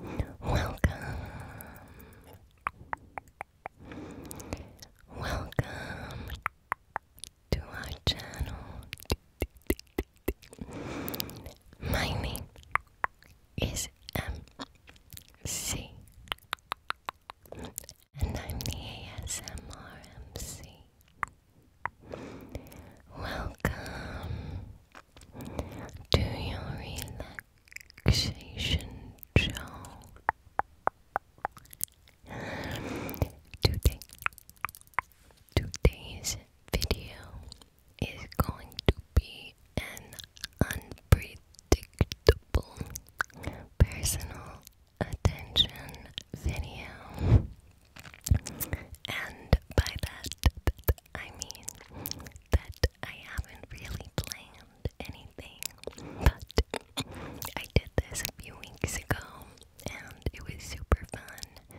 And welcome. Welcome to our channel. My name is MC, and I'm the ASMR MC. Welcome to your relaxation show. Today, today's video is going to be an unpredictable personal attention video. And by that, I mean that I haven't really planned anything, but I did this a few weeks ago and it was super fun.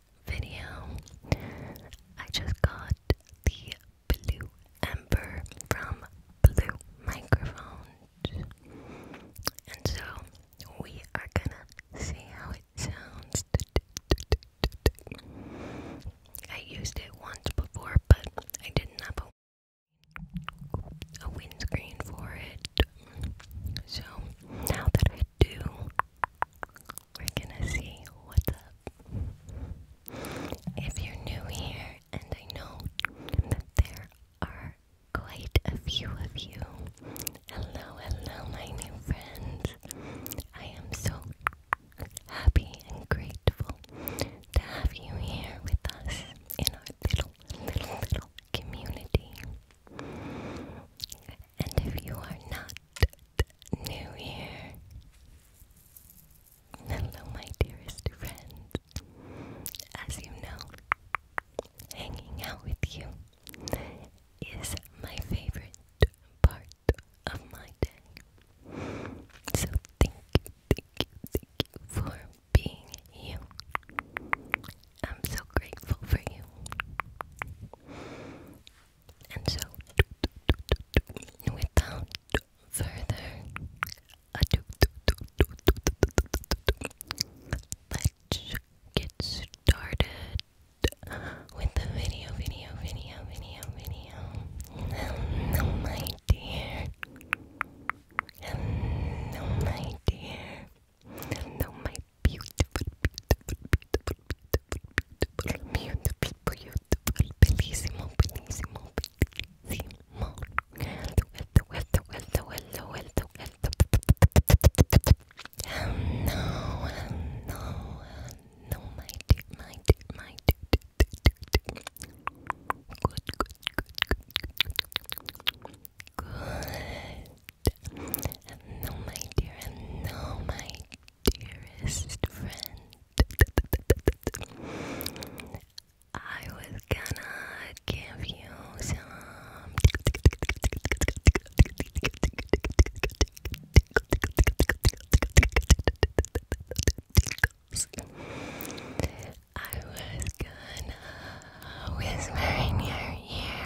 video. I just got the blue ember from Blue Microphones, and so we are gonna see how it sounds. I used it once before, but I didn't have a, a windscreen for it. So now that I do, we're gonna see what's up. If you're new here, and I know that there are quite a few of you, hello, hello, my new friends. I am so happy and grateful to have you here with us in our little, little, little community. And if you are not New Year. Hello, my dearest friend. As you know, hanging out with you is my favorite part of my day. So thank thank thank you for being you. I'm so grateful for you. And so, without further ado, let's get started with the video, video, video, video, video. Hello, my dear. Hello, my dear. Hello, my beautiful, beautiful, beautiful, no, no, no, my dear, my dear, my dear. Good, good, good, good, good. no, my dear, no, my dearest friend. I was gonna give you some I was gonna whisper in your ear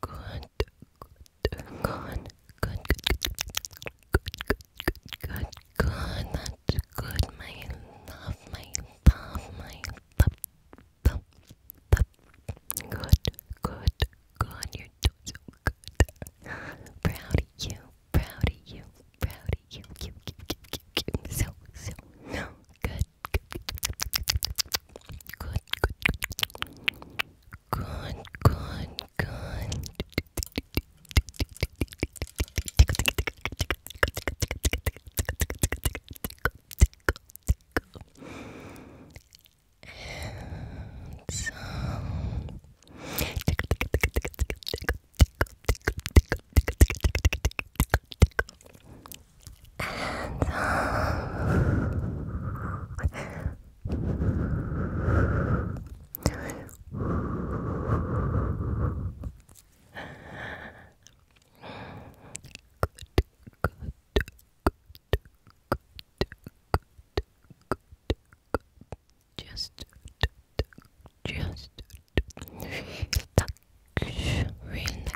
Good, good, good, good, good, good, good, good, that's good, my love, my love, my love, love, love. Good, good, good, you're so good. Proud of you, proud of you, proud of you, you, you, you, you, so, so, no, good, good, good, good, good. And so and just just touch real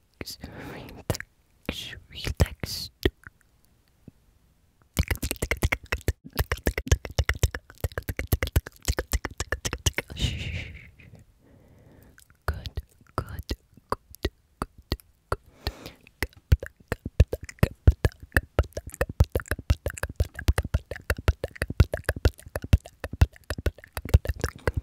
relax, relax, relax. Shh. Good, good, good, good, good.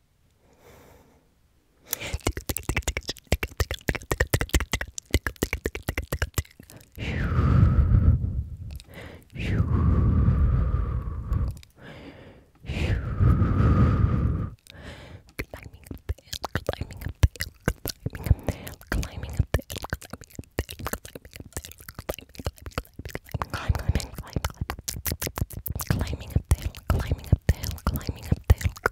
Climbing up the hill, climbing up the hill, climbing up the hill, climbing up the hill, climbing up the hill, climbing, climbing, climbing, climbing, climbing, climbing up the hill, climbing up the hill, climbing up the hill,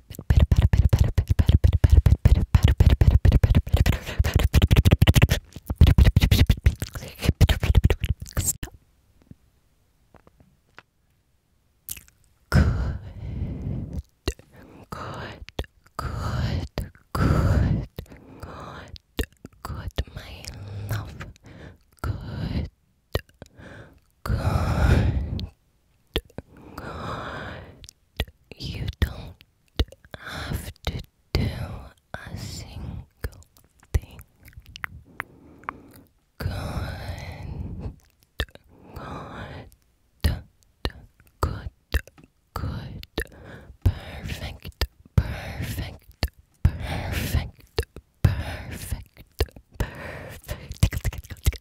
Stop. Good. Good. Good. Good. Good. Good. My love. Good. God, God, you don't have to do a single thing. God, God, good, good, perfect, perfect, perfect, perfect, perfect.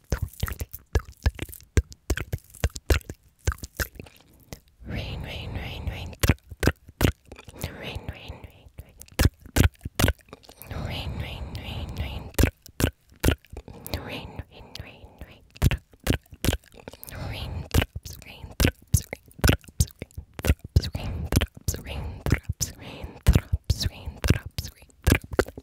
Rain, rain, rain, rain. Rain, rain, rain, rain. Rain, rain, rain, rain. Rain, rain, rain, rain. Rain drops, rain drops, rain drops, rain drops, rain drops, rain drops, rain drops, rain drops, rain drops, rain drops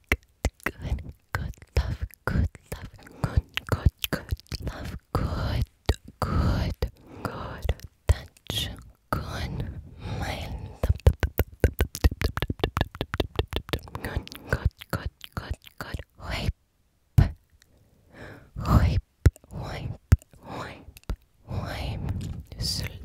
good, good love, good love, good, good, good love, good, good, good touch, good mind, good, good, good, good, good wipe, wipe, wipe, wipe, wipe, slow.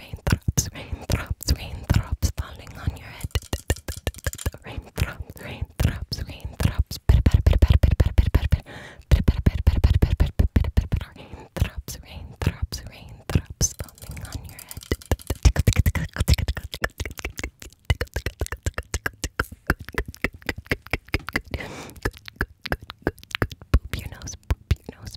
raindrops, raindrops, raindrops falling on your head. Raindrops, raindrops, raindrops. Raindrops, raindrops, raindrops falling on your head. Boop your nose, boop your nose,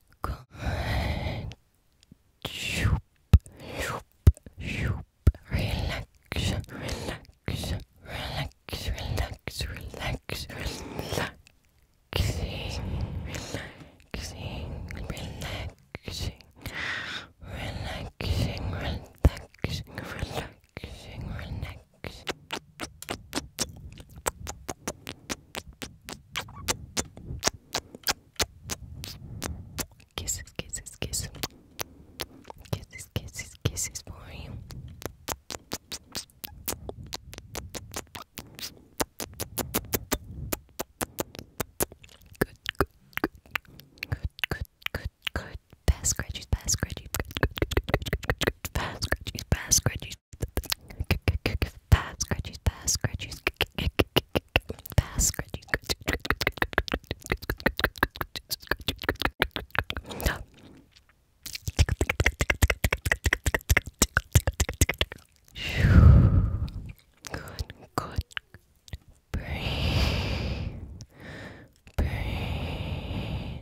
shoop, shoop, shoop. Relax, relax, relax, relax, relax, relaxing, relaxing, relaxing, relaxing, relaxing, relaxing, relaxing. Kisses, kisses, kisses. Kisses, kisses, kisses for you. Good, good, good, good, good, good, good. Pass, scratchies, pass, scratchies. Good, good, good, good, good, good, scratch, bad scratchies, bad scratchies, bad scratchies, bad scratchies, bad scratchies, Good, good. Breathe, breathe,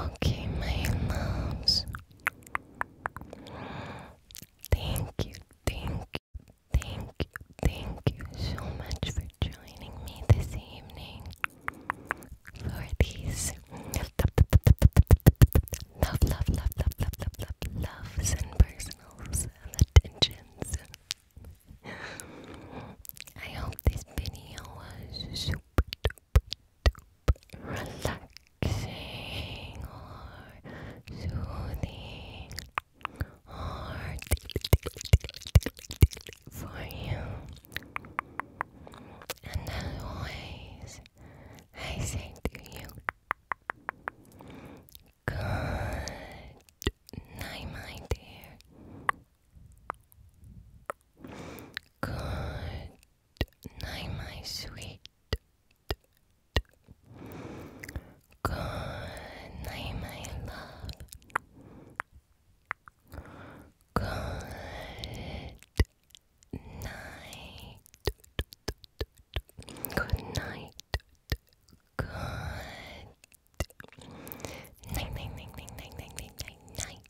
Okay, my loves. Thank you, thank you, thank you, thank you so much for joining me this evening for these love, love, love, love, love, love, loves and personals attentions. I hope this video was super duper relaxing or soothing hard for you. And always, I say to you, good night, my dear. Good night, my sweet. Good night, my love. Good night. Good night. Good night, night, night, night, night, night, night,